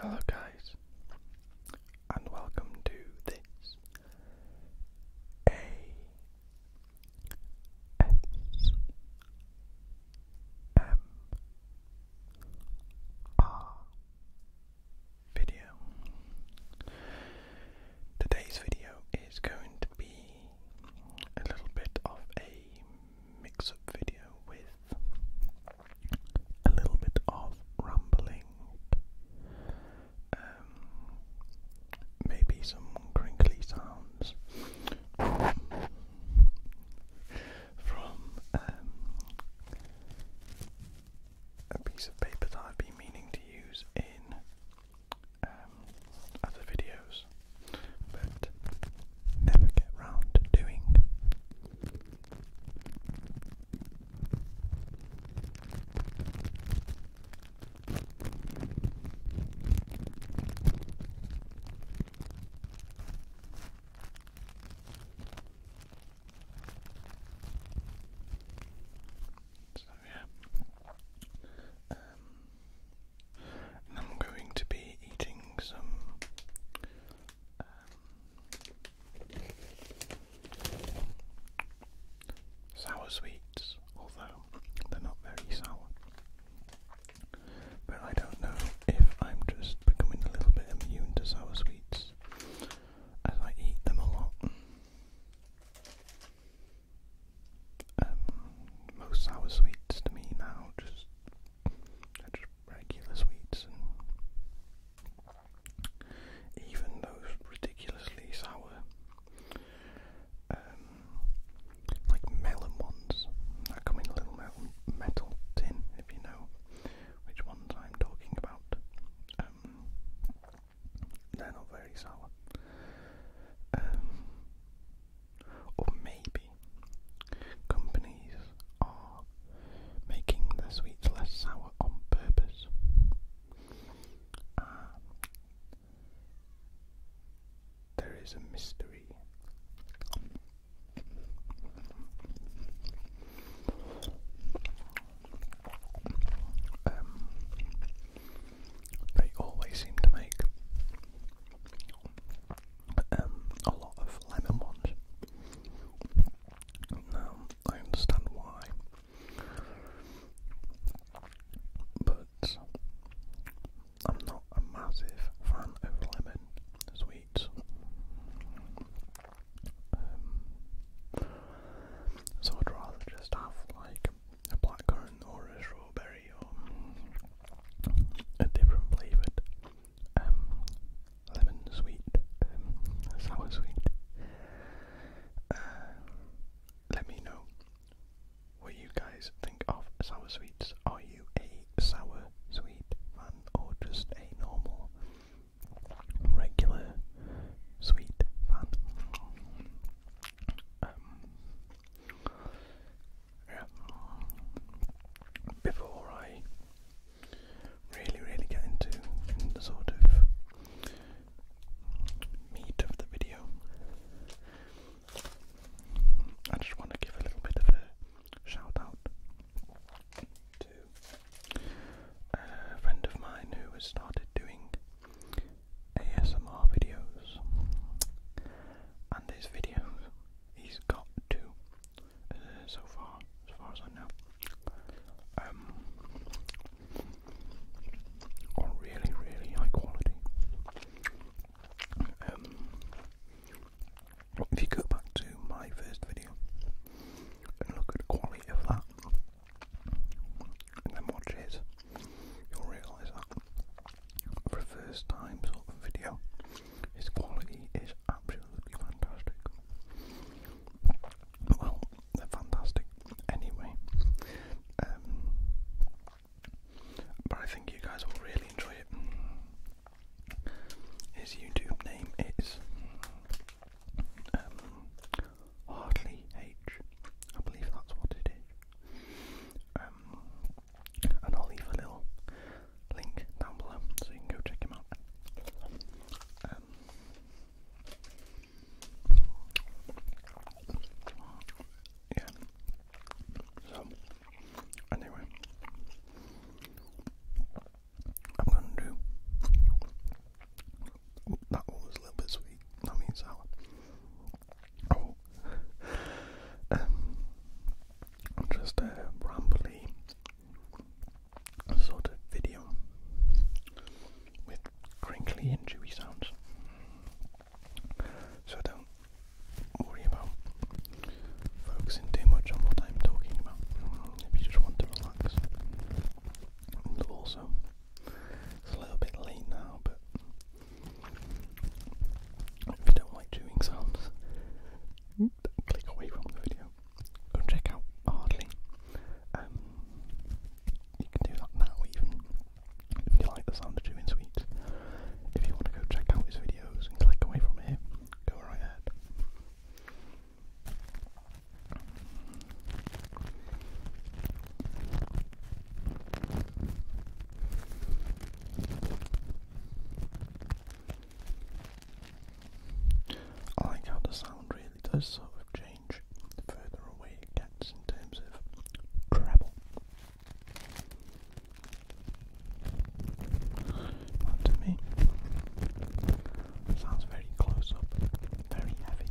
Hello, guys, and welcome to this A S M R video. Today's video is going to be a little bit of a mix-up video with a little bit of rambling, um, maybe some crinkly sounds from um, a piece of paper that I've been meaning to use in um, other videos but never get round to doing. So yeah, um, I'm going to be eating some um, sour sweets, although they're not very sour. But I don't know if I'm just becoming a little bit immune to sour sweets as I eat them a lot. Um, most sour sweets to me now just just regular sweets and even those ridiculously sour um, like melon ones that come in a little metal, metal tin if you know which ones I'm talking about. Um, they're not very sour. Um, or maybe companies are making their sweets less sour on purpose. Ah, there is a mystery. Um, they always seem to make um, a lot of lemon ones. Now, I understand why, but I'm not a massive fan of lemon sweets. Um, so I'd rather just have like a blackcurrant or a strawberry or a different flavoured um, lemon sweet, um, sour sweet. Uh, let me know what you guys think of sour sweets. Are you a sour sweet fan or just a normal, regular sweet fan? Um, yeah. Before I really, really get into the sort of meat of the video, I just want to give a little bit of a shout out to a friend of mine who has started doing ASMR videos, and his videos He's got two uh, so far, as far as I know. Um, really, really high quality. Um, if you go back to my first video and look at the quality of that, and then watch it, you'll realise that for a first time sort of video, his quality is absolutely fantastic. Well, they're fantastic anyway. Um, but I think you guys will really enjoy it. His YouTube name is um, H. I believe that's what it is. Um, and I'll leave a little link down below so you can go check him out. Um, yeah. So anyway, I'm gonna do that one was a little bit sweet. That means sour. Oh. Um, just a rambly sort of video with crinkly and chewy sounds. So don't worry about focusing too much on what I'm talking about if you just want to relax. And also, it's a little bit late now, but if you don't like chewing sounds, click away from the video. Go check out Hardly. Um, you can do that now even if you like the sound of chewing sweets. If you want to go check out his videos and click away from here, go right ahead. I like how the sound really does sort of change the further away it gets in terms of treble. to me, sounds very close up, very heavy.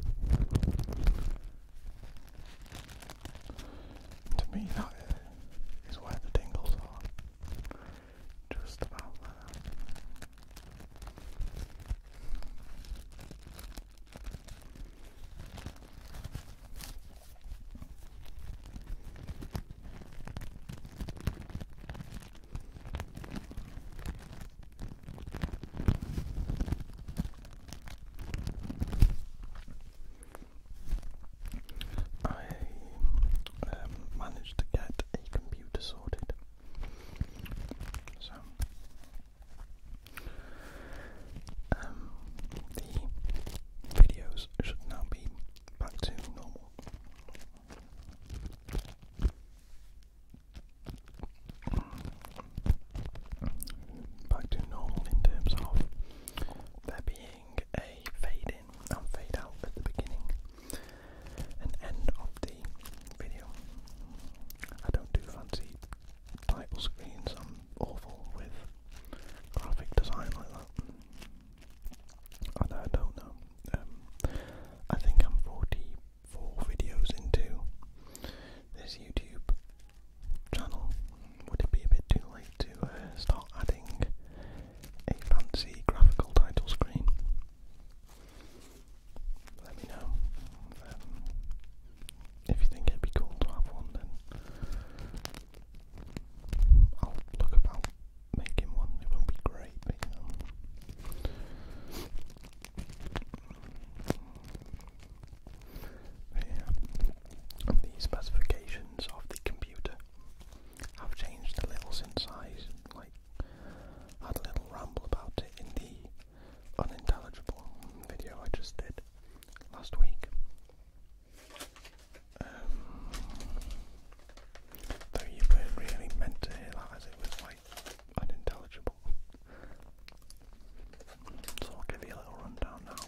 To me, that where the tingles are. Just about that. I um, managed to get a computer sorted. So, um, the videos should now be back to normal. Back to normal in terms of there being a fade in and fade out at the beginning and end of the video. I don't do fancy title screens, I'm awful with graphic design like that. And I don't know. Um, I think I'm 44 videos into this YouTube channel. Would it be a bit too late to uh, start adding a fancy graphical title screen, let me know. Um, if you think it'd be cool to have one, then I'll look about making one. It will be great, but specifications of the computer i have changed a little since I like had a little ramble about it in the unintelligible video I just did last week. Um, though you weren't really meant to hear that as it was like unintelligible. So I'll give you a little rundown now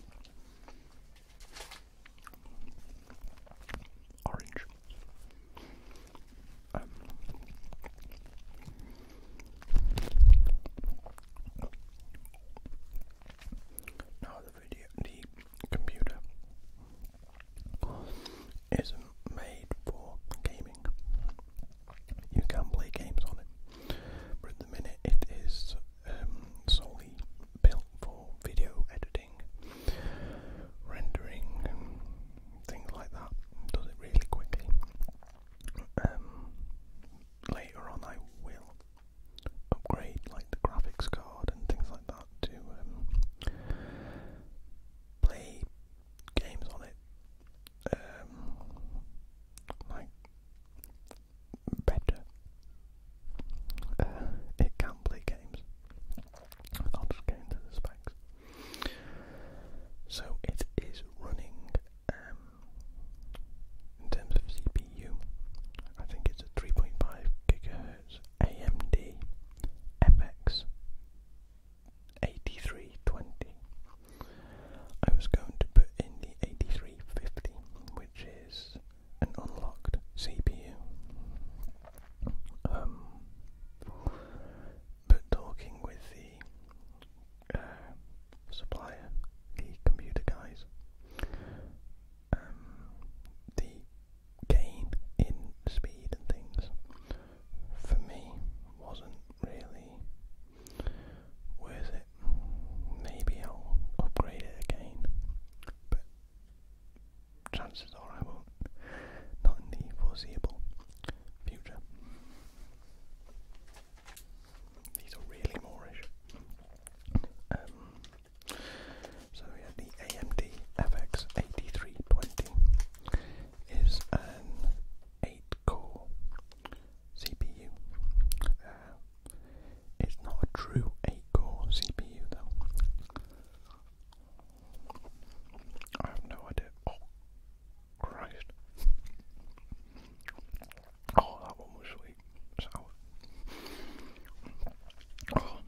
orange. Um, now the video, computer isn't made for gaming. You can play games on it, but at the minute it is um, solely built for video editing rendering, and things like that. Does it really quickly. Um, later on, I will upgrade like the graphics card and things like that to um, play games on it, um, like better. Uh, it can play games. I'll just go into the specs. So it is running um, in terms of CPU. I think it's a 3.5 gigahertz AMD FX 8320. I was going to put in the 8350, which is an unlocked CPU. Um, but talking with the uh, supplier, the computer guys, um, the gain in speed and things for me wasn't really worth it. Maybe I'll upgrade it again, chances are I won't. Not in the foreseeable future. These are really Moorish. Um, so yeah, the AMD FX 8320 is an 8-core CPU. Uh, it's not a true 8-core CPU though. I have no idea. Oh, Christ. Oh, that one was sweet. Sour. Um,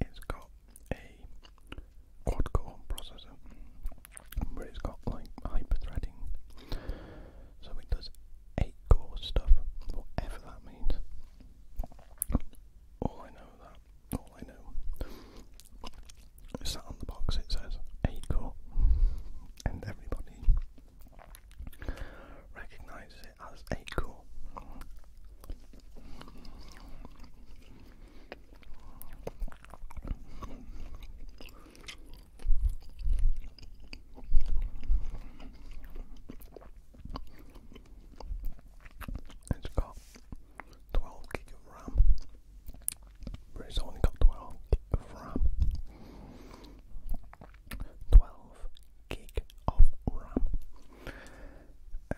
it's got a quad core processor, but it's got like hyper threading. So it does 8 core stuff, whatever that means. All I know that all I know is that on the box it says eight core and everybody recognizes it as eight core. It's got 12 gig of RAM, but it's only got 12 gig of RAM. 12 gig of RAM. Um,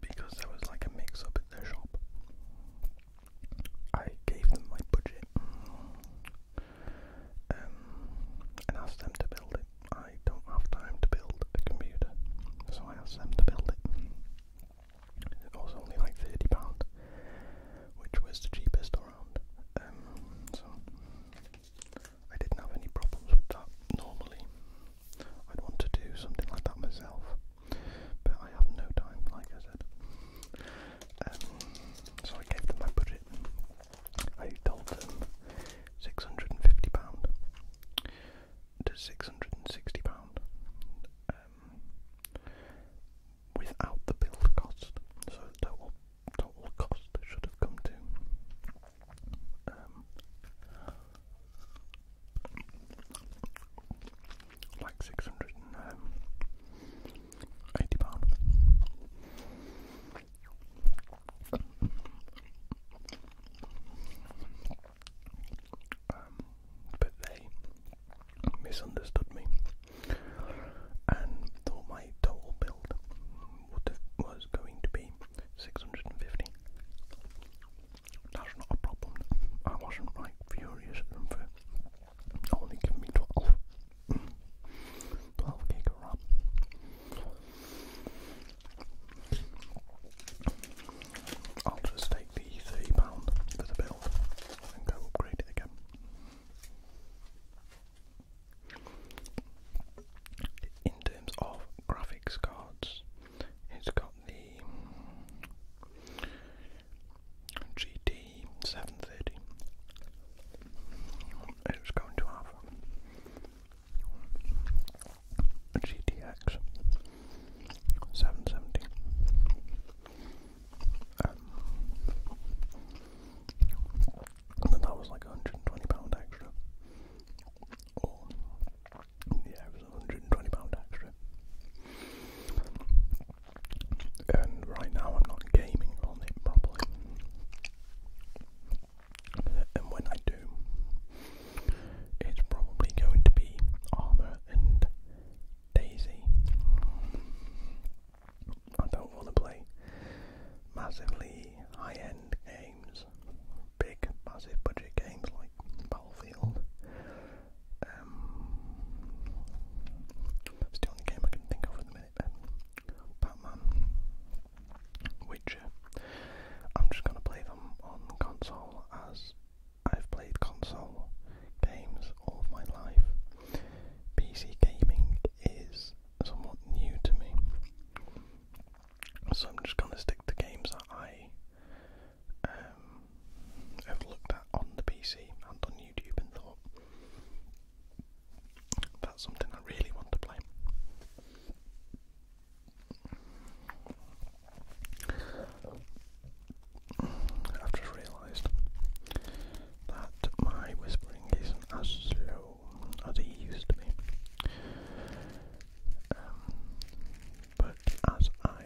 because there was like a mix up at their shop, I gave them my budget. Um, and asked them to build it. I don't have time to build a computer, so I asked them to build it. It was only like £30, which was the cheapest around. Um, so I didn't have any problems with that. Normally, I'd want to do something like that myself, but I have no time, like I said. Um, so I gave them my budget I told them £650 to £660 um, without the build cost. So total, total cost should have come to um, like six hundred and um, eighty pounds. Um, but they misunderstood me and thought my total build was going to be 650. That's not a problem. I wasn't like furious at only giving me 12. 12 gig of RAM. I'll just take the three pounds for the build and go upgrade it again. In terms of graphics cards, it's got the GT 730. It's going to have GTX 770. Um, but that was like £120 extra. yeah, it was £120 extra. And right now I'm not gaming on it properly and when I do, it's probably going to be Armour and Daisy. I don't want to play massively high end games, big, massive budget games like Battlefield. Um, it's the game I can think of at the minute. Batman, Witcher. Uh, I'm just going to play them on console as I've played console games all of my life. PC gaming is somewhat new to me. So I'm just going to stick to games that I um, have looked at on the PC and on YouTube and thought, that's something I really want to play. I've just realised that my whispering isn't as slow as it used to be. Um, but as I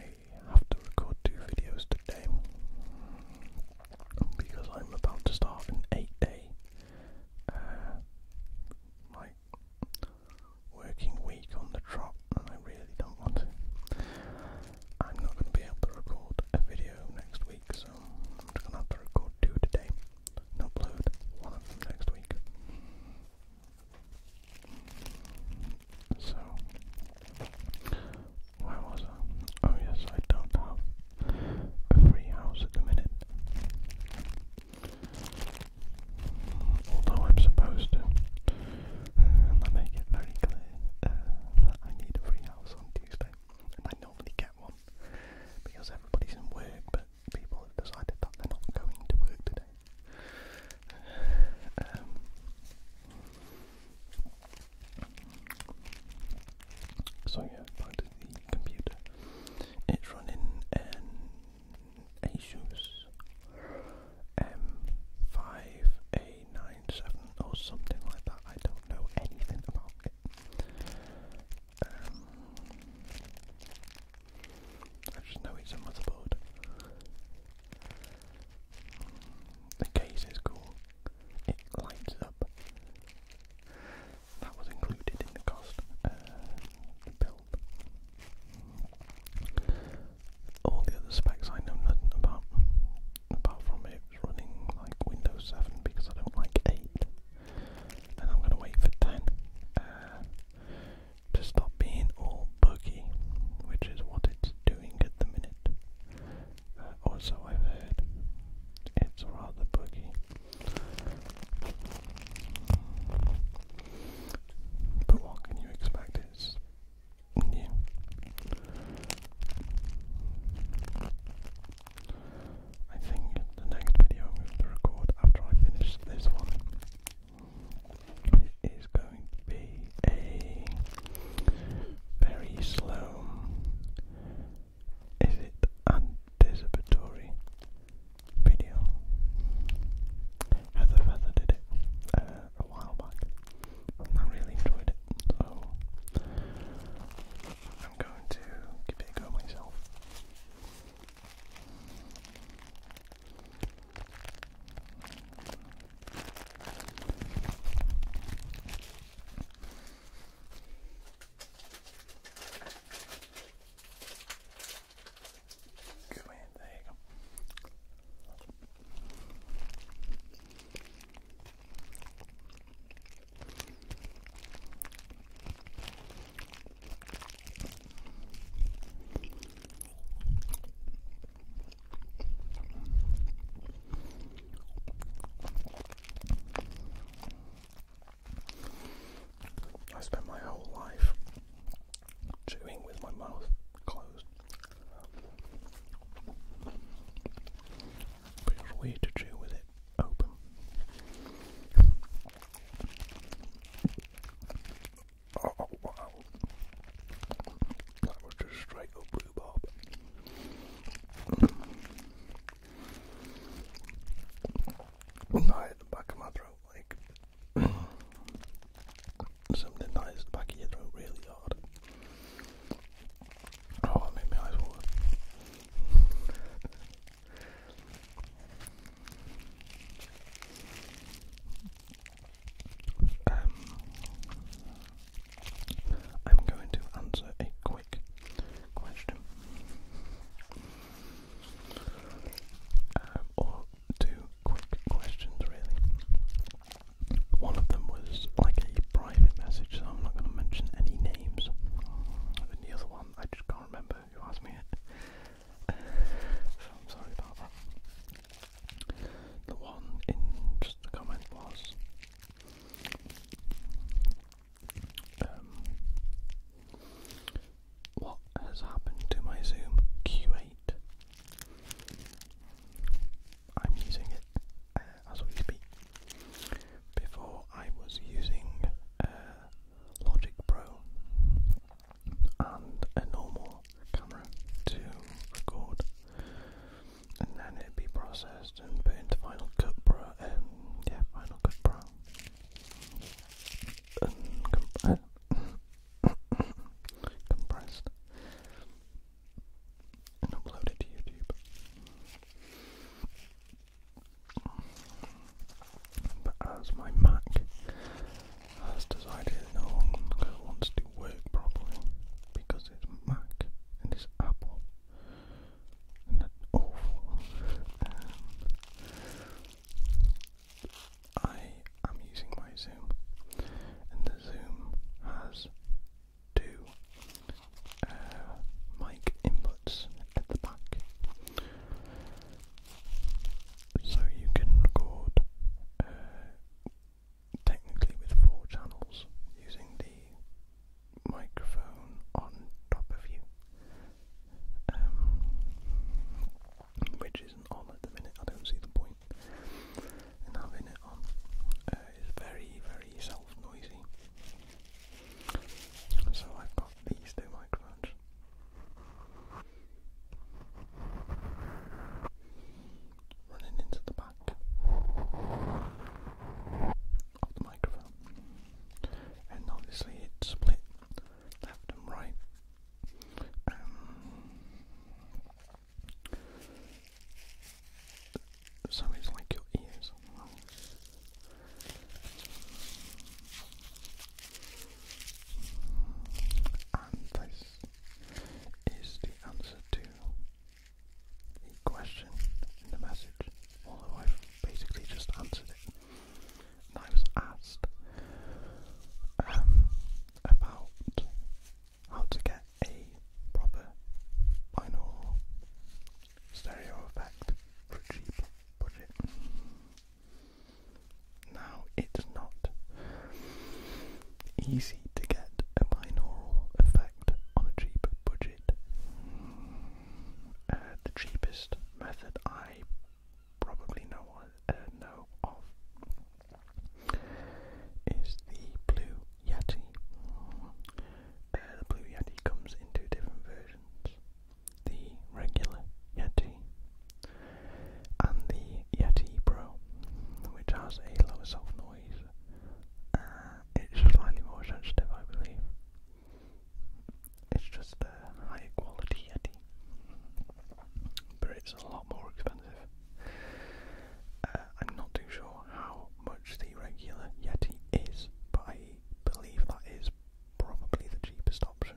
have to record two videos today, because I'm about to start an eight day uh, like working week on the trot, and I really don't want to. I'm not going to be able to record a video next week, so I'm just going to have to record two today upload one of them next week. So, where was I? Oh, yes, I don't have a free house at the minute. Although I'm supposed to. I make it very clear uh, that I need a free house on Tuesday. And I normally get one because everybody's in work, but people decided that they're not going to work today. Um, so yeah, back to the computer. It's running an Asus M5A97 or something like that. I don't know anything about it. Um, I just know it's a motherboard. The case is cool. It lights up. That was included in the cost uh, build. All the other specs I know nothing about, apart from it running like Windows 7 because I don't like 8. And I'm going to wait for 10 uh, to stop being all buggy, which is what it's doing at the minute. Uh, also, I've heard it's rather buggy. But what can you expect? It's new. I think the next video I'm going to record after I finish this one is going to be a very slow. Is it anticipatory video. Heather Feather did it uh, a while back, I really enjoyed it, so I'm going to give it a go myself. Good man, there you go. I spent my whole life chewing with my mouth closed. weird to chew with it open. Oh, oh wow. That was just straight up Right at the back of my throat like something nice back of your throat really hard. Oh, that made my eyes water. um, I'm going to answer a quick question. Um, or two quick questions, really. One of them was like a private message, so I'm not going to mention any names. the other one, I just can't remember who asked me it. sorry about The one in just the comment was um, what has happened to my Zoom Q8. I'm using it uh, as we speak. Before I was using uh, Logic Pro and a normal camera to record, and then it'd be processed and put into Final Cut Pro. Um, yeah, Final Cut Pro compressed and uploaded to YouTube. But as my Mac has decided no longer wants to work properly because it's Mac and it's Apple and that's awful. I am using my Zoom, and the Zoom has two uh, mic inputs at the back, so you can record uh, technically with four channels using the microphone on top of you. Um, which isn't on at the minute. I don't see the and having it on. Uh, is very, very self-noisy. So I've got these two microphones. Running into the back of the microphone, and obviously it's split left and right. Um, so it's like your ears. And this is the answer to the question in the message, although I've basically just answered it. I was asked um, about how to get a proper binaural stereo effect for cheap budget. Now, it's not easy to get a binaural effect on a cheap budget. Uh, the cheapest method I probably no one uh, know of is the Blue Yeti. Uh, the Blue Yeti comes in two different versions: the regular Yeti and the Yeti Pro, which has a lower soft noise. Uh, it's slightly more sensitive, I believe. It's just a high quality Yeti, but it's a lot more expensive. Uh, I'm not too sure how much the regular Yeti is, but I believe that is probably the cheapest option,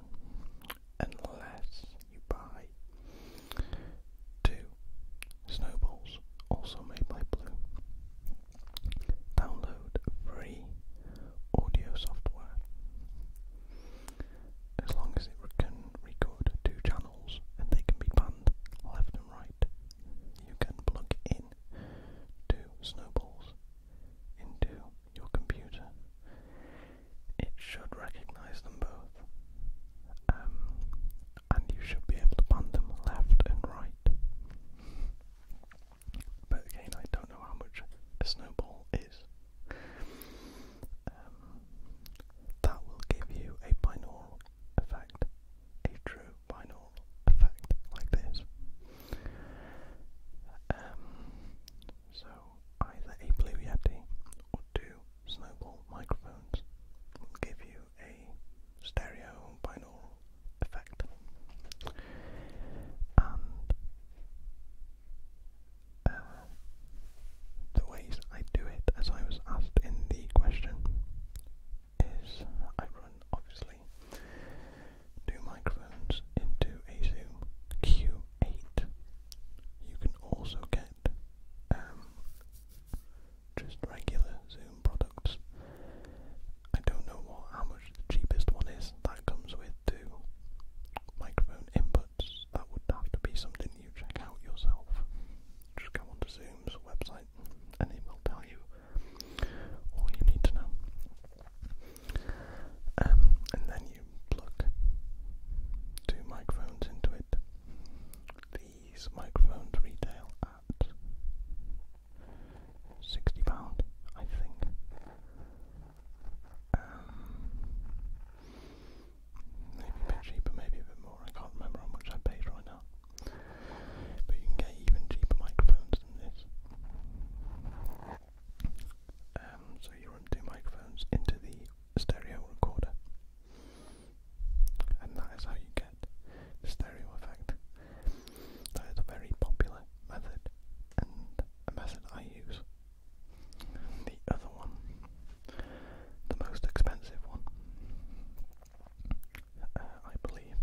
unless you buy two snowballs, also made by Blue. Download free audio software as long as it can record two channels and they can be panned left and right. You can plug in two snowballs into your computer. It should recognize them both. Um, and you should be able to pan them left and right. But again, I don't know how much a snowball is um, that will give you a binaural effect, a true binaural effect like this. Um, so either a Blue Yeti or two Snowball microphones will give you a stereo binaural effect uh, the ways I do it, as I was asked in the question, is I run obviously two microphones into a Zoom Q8. You can also get um, just regular Zoom products. I don't know what how much the cheapest one is that comes with two microphone inputs that's that would have to be something you check out yourself. Just go onto Zoom's website and it will tell you all you need to know. Um, and then you plug two microphones into it. These microphones retail at £60, I think. Um, maybe a bit cheaper, maybe a bit more. I can't remember how much I paid right now. But you can get even cheaper microphones than this. Um, so you run two microphones into the stereo recorder, and that is how you get the stereo effect. That is a very popular method, and a method I use the other one, the most expensive one, uh, I believe,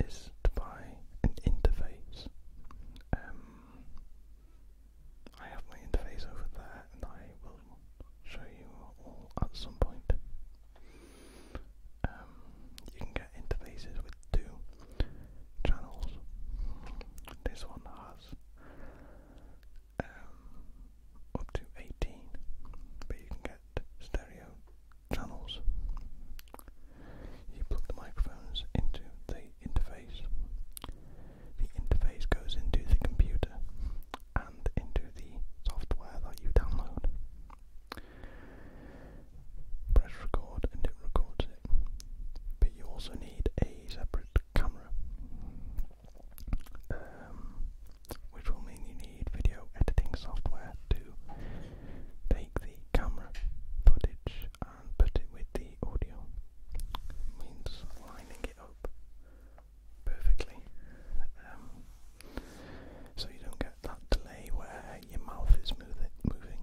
is to buy an interface. Um, I have my interface over there, and I will show you all at some point. Um, you can get interfaces with two channels. This one class um, up to 18, but you can get stereo channels. You plug the microphones into the interface. The interface goes into the computer and into the software that you download. Press record and it records it. But you also need a separate camera, um, which will mean you need video editing software to take the camera footage and put it with the audio. means lining it up perfectly, um, so you don't get that delay where your mouth is moving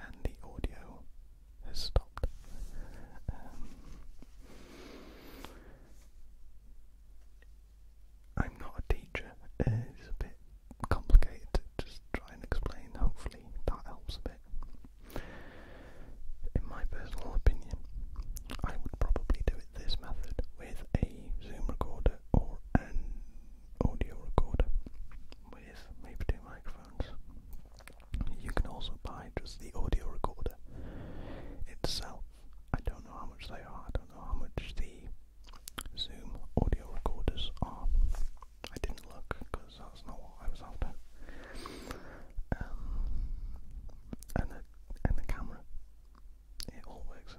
and the audio has stopped. Um, I'm not a teacher. it's a bit complicated to just try and explain. Hopefully that helps a bit. In my personal opinion, I would probably do it this method with a Zoom recorder or an audio recorder with maybe two microphones. You can also buy just the audio recorder itself. I don't know how much they are, I don't know how much the Zoom audio recorders are. I didn't look because that's not what I was after. Um, and, the, and the camera. It all works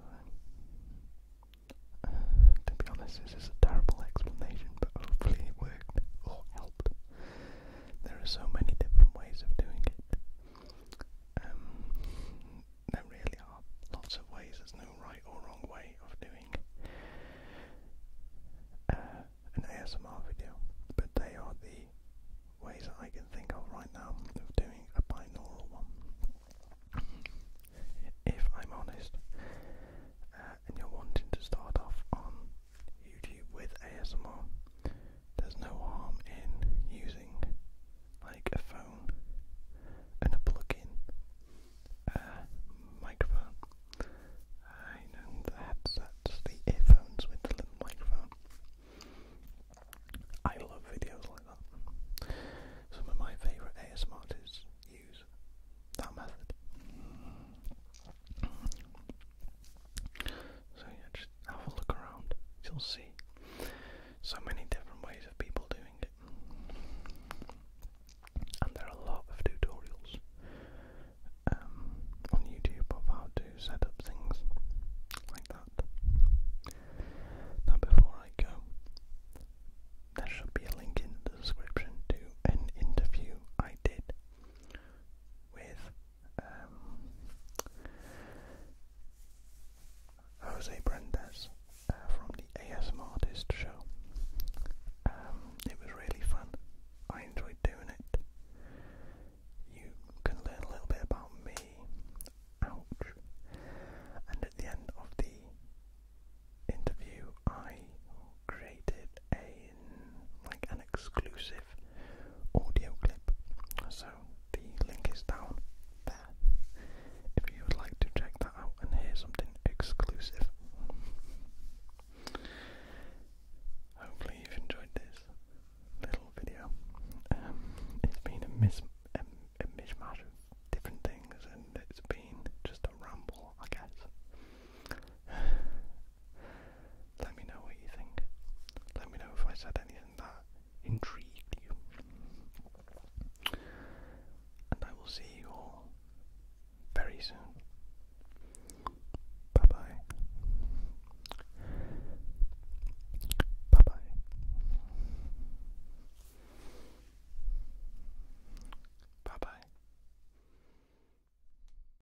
fine. Uh, to be honest, this is a terrible explanation, but hopefully it worked or helped. There are so many different ways of doing it. Um, there really are lots of ways. There's no right or wrong way of doing uh, an ASMR video, but they are the ways I can think of right now of doing a binaural one. If I'm honest, uh, and you're wanting to start off on YouTube with ASMR, there's no harm in using like a phone and a plug-in uh, microphone. Uh, know, the headsets, the earphones with the little microphone. I love videos like that. Some of my favourite ASMR artists use that method. So yeah, just have a look around. You'll see so many different ways of people doing it. And there are a lot of tutorials um, on YouTube of how to set up things like that. Now before I go, there should be a link in the description to an interview I did with um, Jose Brandes uh, from the ASM Artist show. Um, it was really fun. I enjoyed doing it. You can learn a little bit about me. Ouch. And at the end of the interview, I created a like an exclusive audio clip. So the link is down there. If you would like to check that out and hear something exclusive. Hopefully you've enjoyed this little video. Um, it's been a, mis a mishmash of different things and it's been just a ramble, I guess. Let me know what you think. Let me know if I said anything that intrigued you. And I will see you all very soon. Bye bye. Bye bye. Bye bye.